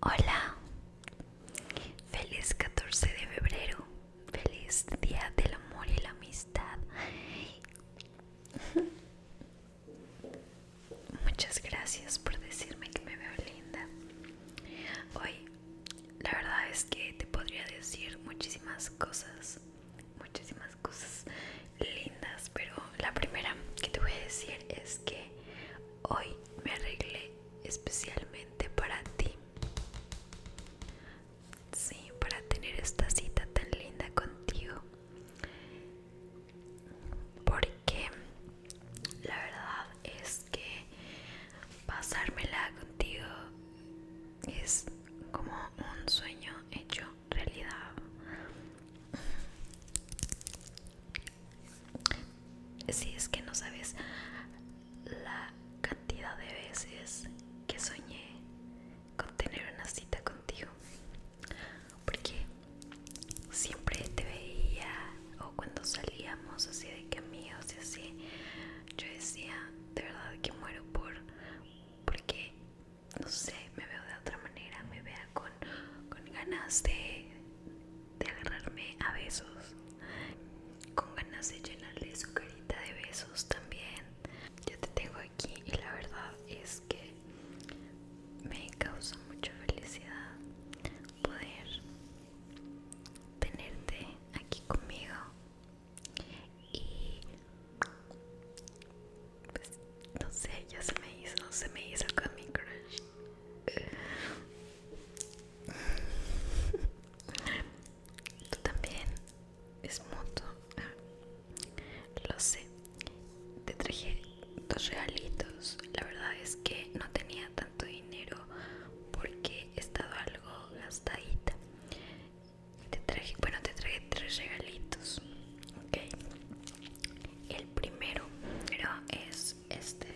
Hola, feliz 14 de febrero, feliz día del amor y la amistad. Muchas gracias por decirme que me veo linda. Hoy, la verdad es que te podría decir muchísimas cosas muchísimas cosas lindas, pero la primera que te voy a decir es que hoy me arreglé especialmente para ti. Sí, para tener esta cita tan linda contigo. Porque la verdad es que pasármela contigo es como un sueño hecho realidad si es que no sabes la cantidad de veces que soñé con tener una cita contigo porque siempre te veía o cuando salíamos así de caminos y así yo decía de verdad que muero por porque no sé, me veo de otra manera, me vea con, ganas de, de agarrarme a besos, con ganas de llenarle su carita de besos también. Yo te tengo aquí y la verdad es que me causa mucha felicidad poder tenerte aquí conmigo y pues no sé, ya se me hizo, se me hizo con mi crush. Tú también es moto, ah, lo sé. Te traje dos regalitos. La verdad es que no tenía tanto dinero porque he estado algo gastadita te traje, bueno te traje tres regalitos, ok. El primero es este.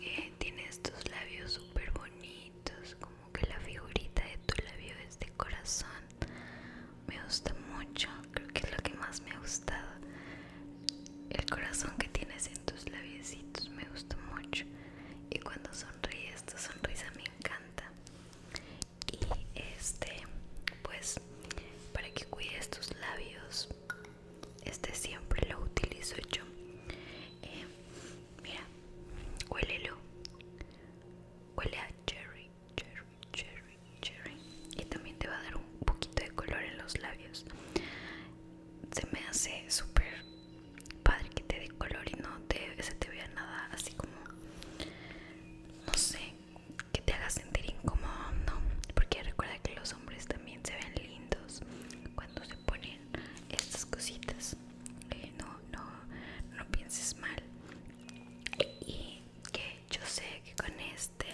Eh, tiene estos labios súper bonitos, como que la figurita de tu labio es de corazón. Me gusta mucho, creo que es lo que más me ha gustado. El corazón que tienes en tus labiecitos me gusta mucho. Y cuando son esta esta sonrisa me encanta. Y este, pues, para que cuides tus labios, este siempre lo utilizo yo. Eh, mira, huélelo. Huele a cherry, cherry, cherry, cherry. Y también te va a dar un poquito de color en los labios. Se me hace súper padre que te dé color y no te, se te vea nada así como, no sé, que te haga sentir incómodo, Porque recuerda que los hombres también se ven lindos cuando se ponen estas cositas. no, no, no pienses mal. Y que yo sé que con este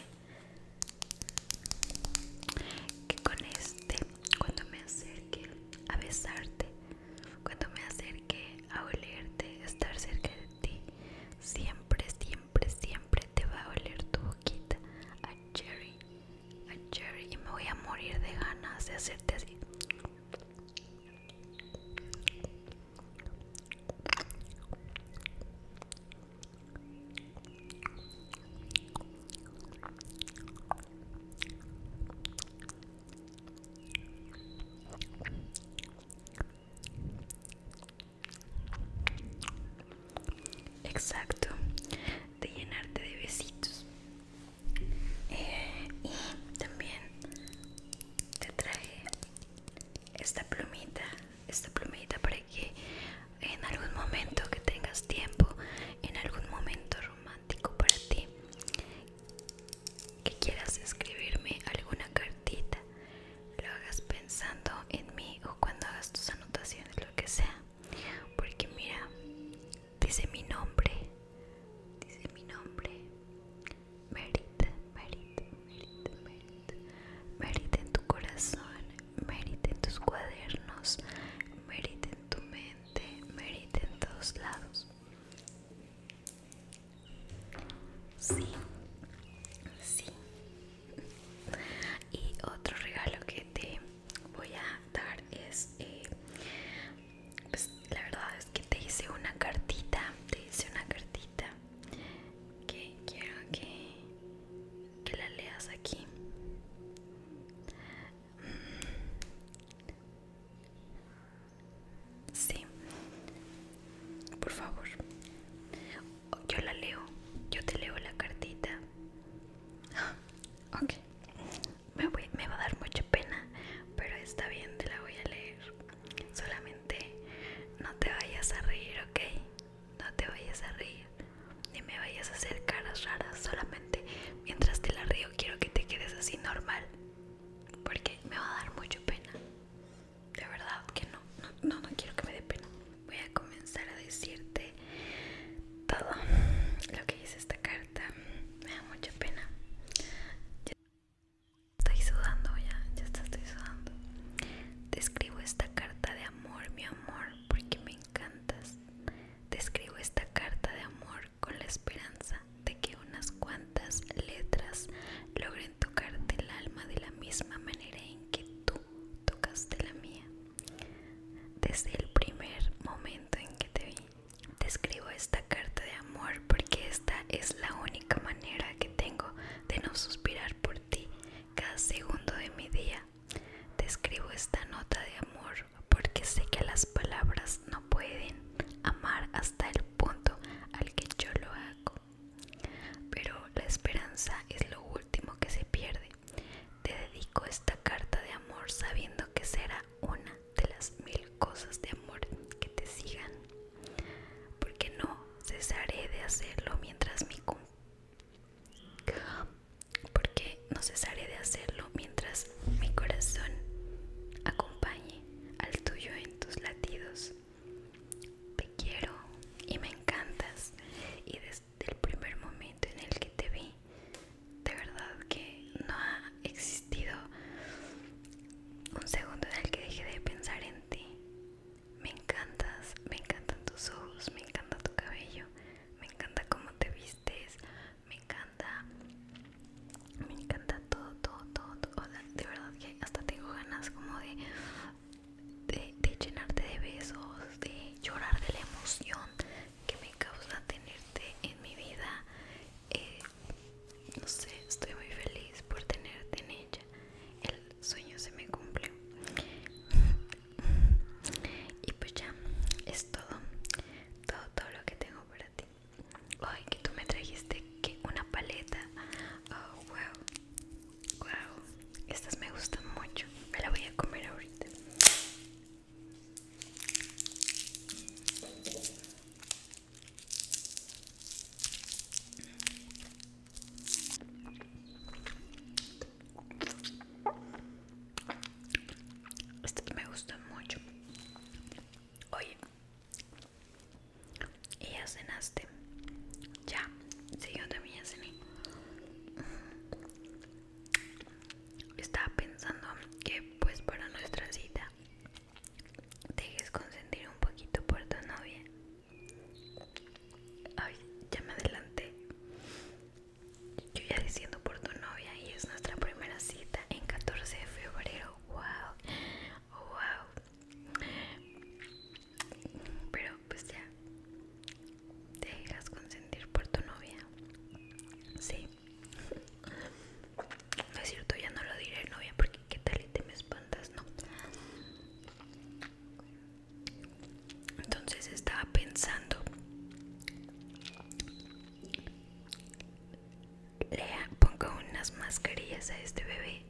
que con este cuando me acerque a besarte, cuando me acerque a olerte, estar cerca de ti, siempre, siempre, siempre te va a oler tu boquita a cherry, a cherry y me voy a morir de ganas de hacerte así. Exacto, de llenarte de besitos. Eh, y también te trae esta plumita, esta plumita para que en algún momento que tengas tiempo, en algún momento romántico para ti que quieras escribirme alguna cartita lo hagas pensando en mí o cuando hagas tus anotaciones lo que sea porque mira dice mi nombre dice mi nombre merita merita merita en tu corazón merita en tus cuadernos merita en tu te meriten todos lados. Sí, sí. Y otro regalo que te voy a dar es, eh, pues la verdad es que te hice una cartita, te hice una cartita que quiero que, que la leas aquí. Sí, por favor. Yo la leo, yo te leo la cartita. Ok, me, me va a dar mucha pena, pero está bien, te la voy a leer. Solamente no te vayas a reír, ok? No te vayas a reír. Ni me vayas a hacer caras raras, solamente mientras te la río quiero que te quedes así normal. Porque me va a dar mucho pena. De verdad que no, no, no, quiero que me dé pena. Voy a comenzar a decirte todo lo que dice esta carta. Me da mucha pena. estoy sudando ya, ya estoy sudando. Te escribo esta carta de amor, mi amor, porque me encantas. Te escribo esta carta de amor con la esperanza de que unas cuantas letras logren tocarte el alma de la misma manera en que tú tocaste la mía. Desde el primer momento en que te vi, te escribo esta carta de amor porque esta es la única manera que tengo de no suspirar por ti cada segundo de mi día. Te escribo esta nota de amor porque sé que las palabras no pueden amar hasta el punto al que yo lo hago. Pero la esperanza es lo último que se pierde. Te dedico esta carta de amor sabiendo que será una de las mil cosas de amor que te sigan. Porque no cesaré de hacerlo mientras mi, porque no cesaré de hacerlo mientras mi corazón acompañe al tuyo en tus latidos. Te quiero y me encantas y desde el primer momento en el que te vi, de verdad que no ha existido un segundo en el que deje de pensar en ti. Me encantas, me encantan tus ojos, me encanta tu cabello, me encanta cómo te vistes, me encanta, me encanta todo, todo, todo, de verdad que hasta tengo ganas como de, de, llenarte de besos, de llorar de la emoción que me causa tenerte en mi vida. Eh, no sé, estoy muy feliz por tenerte en ella. El sueño se me cumplió. Y pues ya, es todo, todo, todo lo que tengo para ti. Ay, que tú me trajiste que una paleta. Oh, wow, wow. Estas me gustan mucho. Me la voy a comer ahorita. Este me gusta mucho. Oye, ¿y ya cenaste? Ya, siguió yo también ya cené. Estaba pensando que, pues, para nuestra cita, dejes consentir un poquito por tu novia. Ay, ya me adelanté. Yo ya diciendo por tu novia y es nuestra primera cita en 14 de febrero. Wow, wow. Pero pues ya, te dejas consentir por tu novia. Sí. es cierto, ya no lo diré novia porque qué tal y te me espantas, no. Entonces estaba pensando, le pongo unas mascarillas a este bebé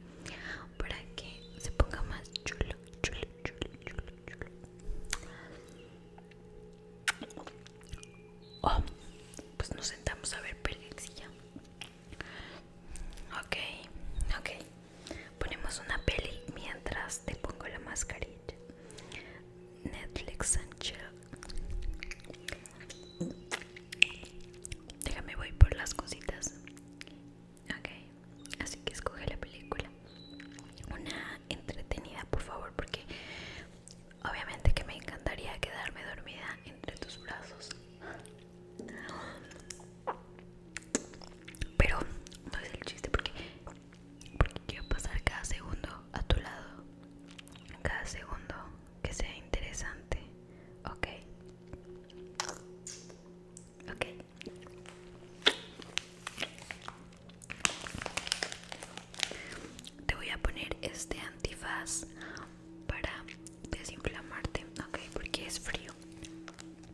para que se ponga más chulo, chulo, chulo, chulo, chulo. Oh, pues nos sentamos a ver pelis ya. Ok, ok. Ponemos una peli mientras te pongo la mascarilla. Netflix and chill. Déjame voy por las cositas. Ok, así que escoge la película. Una entretenida, por favor, porque obviamente que me encantaría quedarme dormida entre tus brazos. Pero no es el chiste porque porque quiero pasar cada segundo a tu lado, cada segundo que sea interesante, ok, ok. Te voy a poner este antifaz para desinflamarte, ok, porque es frío.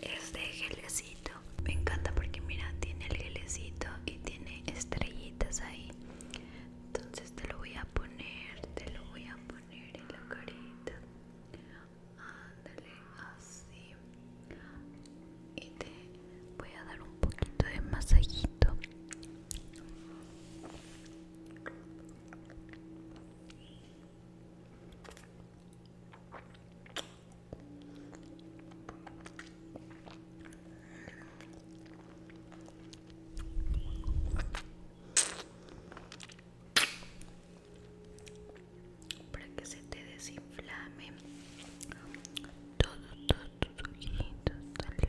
Este gelecito me encanta porque mira tiene el gelecito y tiene estrellitas ahí entonces te lo voy a poner te lo voy a poner en la carita ándale así y te voy a dar un poquito de masajito para que se te desinflame todo, todo, todo ojitos todo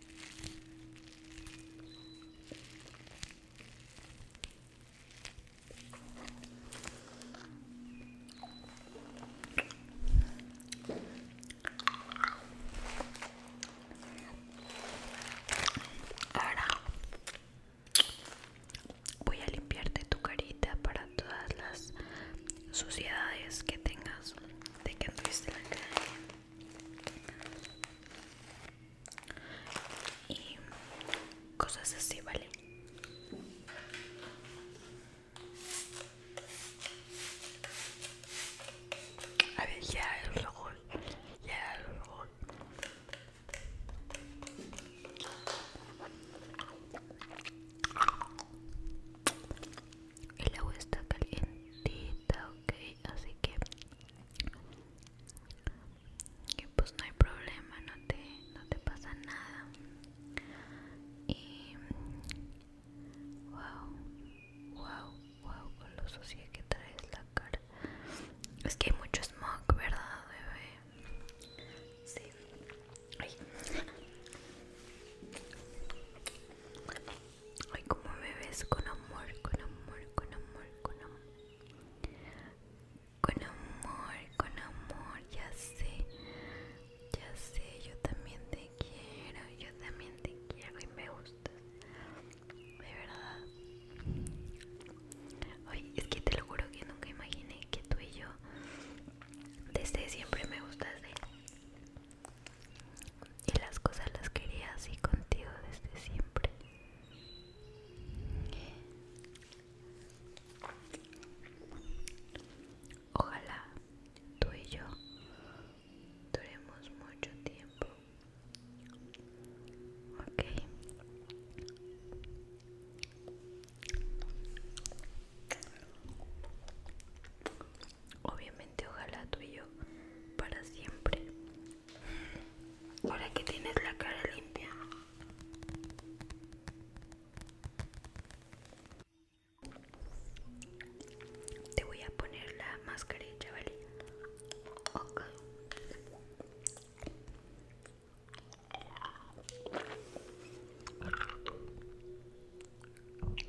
Ahora voy a limpiarte tu carita para todas las suciedades que tengas de que anduviste la cara y cosas así, ¿vale? A ver, ya el ojos, ya el el agua está calientita ok así que pues no hay problema no te no te pasa nada y wow wow wow con lo sucia que traes la cara es que hay mucho smog verdad bebé sí Ay. Ay, como me ves con amor, con amor, con amor, con amor. Con amor, con amor, ya sé. Ya sé, yo también te quiero, yo también te quiero y me gustas. De verdad. hoy es que te lo juro que nunca imaginé que tú y yo desde siempre me de y las cosas las quería así contigo desde siempre ojalá tú y yo duremos mucho tiempo ok Obviamente, ojalá tú y yo para siempre. Ahora que tienes la cara limpia. Te voy a poner la mascarilla, chaval. Ok. Ok,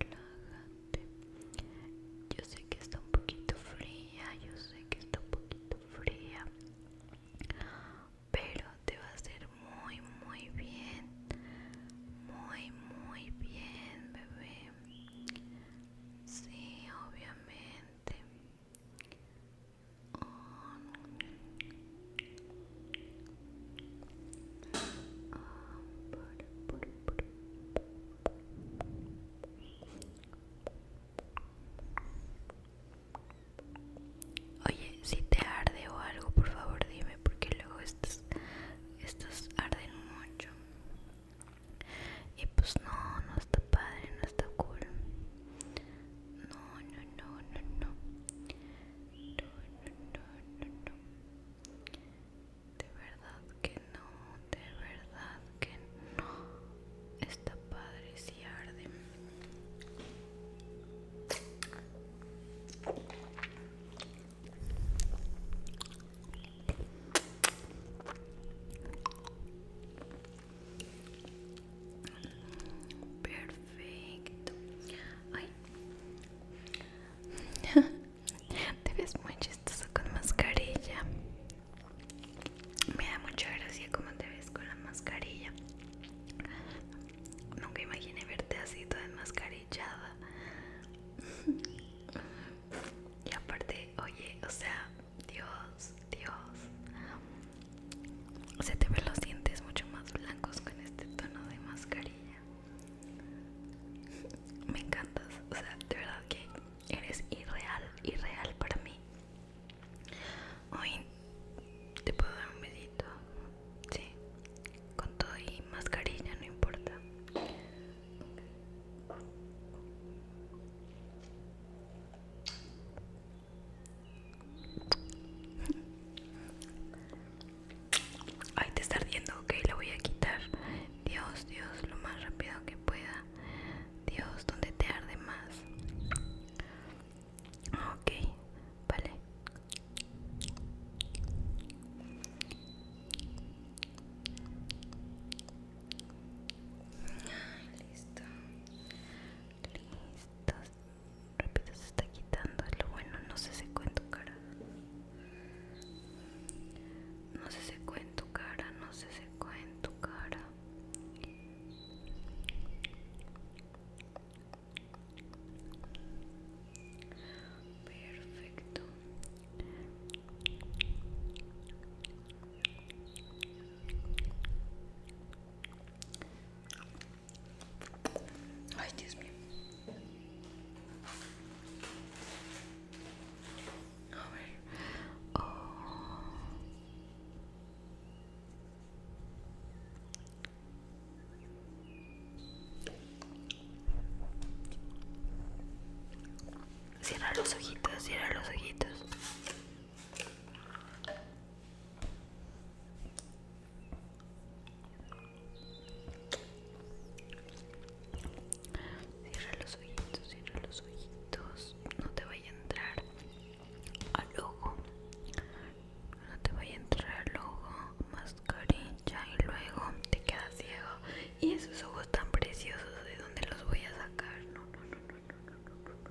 relájate. Yo sé que está un poquito fría, yo sé que está un poquito fría, pero te va a hacer muy, muy bien. Muy, muy bien, bebé. Sí, obviamente. Oye, si te arde o algo, por favor dime, porque luego estas estos arden mucho. Y pues no, no está padre, no está cool. No, no, no, no, no. No, no, no, no, De verdad que no, de verdad que no. Está padre si arde. Perfecto. Ay. Te ves muy chistoso con mascarilla. Me da mucha gracia como te ves con la mascarilla. Nunca imaginé verte así toda enmascarillada. Y aparte, oye, o sea, Dios, Dios. Se te ven los dientes mucho más blancos con este tono de mascarilla. Me encantas, o sea, de verdad que eres irreal, irreal para mí. Hoy te puedo dar un besito, sí, con todo y mascarilla, no importa. Ay, te está ardiendo, ok, lo voy a quitar. Dios, Dios, lo más rápido que pueda. Dios, donde te arde más. Ok, vale. Ah, listo listas, rápido se está quitando lo bueno no se secó en tu cara no se secó en tu cara no se secó en tu cara perfecto Ay, Dios mío. A ver. Oh. Cierra los ojitos, cierra los ojitos. Cierra los ojitos, cierra los ojitos. No te vaya a entrar al ojo. No te vaya a entrar al ojo. Mascarilla y luego te quedas ciego. Y esos ojos tan preciosos, ¿de dónde los voy a sacar? No, no, no, no, no, no, no.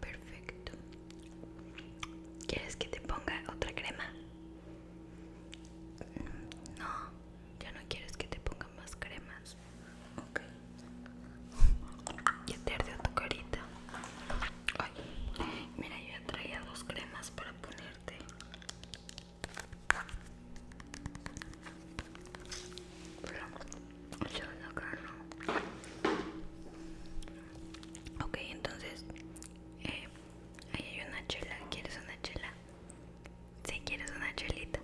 Perfecto. ¿Quieres que te ponga otra crema? No. ¿Ya no quieres que te pongan más cremas? Ok. Ya te ardió tu carita. mira, yo ya traía dos cremas para ponerte. Pero, Ok, entonces, eh, ahí hay una chela. ¿Quieres una chela? Si quieres una chulita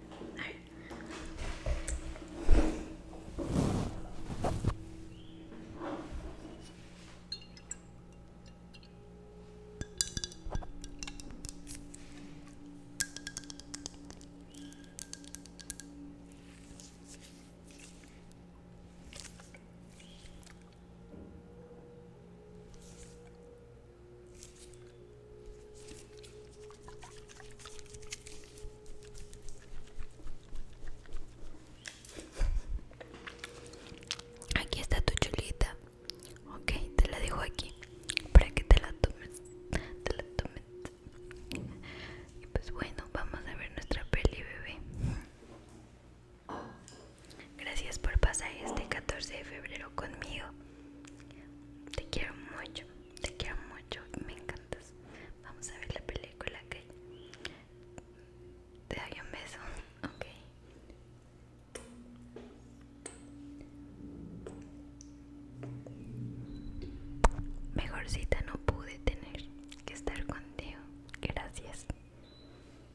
Aquí está tu chulita. Ok, te la dejo aquí para que te la tomes. Te la tomes. Y pues bueno, vamos a ver nuestra peli, bebé. Gracias por pasar este 14 de febrero conmigo. Te quiero mucho, te quiero mucho, me encantas. Vamos a ver la película que te doy un beso, ok. Mejor cita no pude tener que estar contigo. Gracias.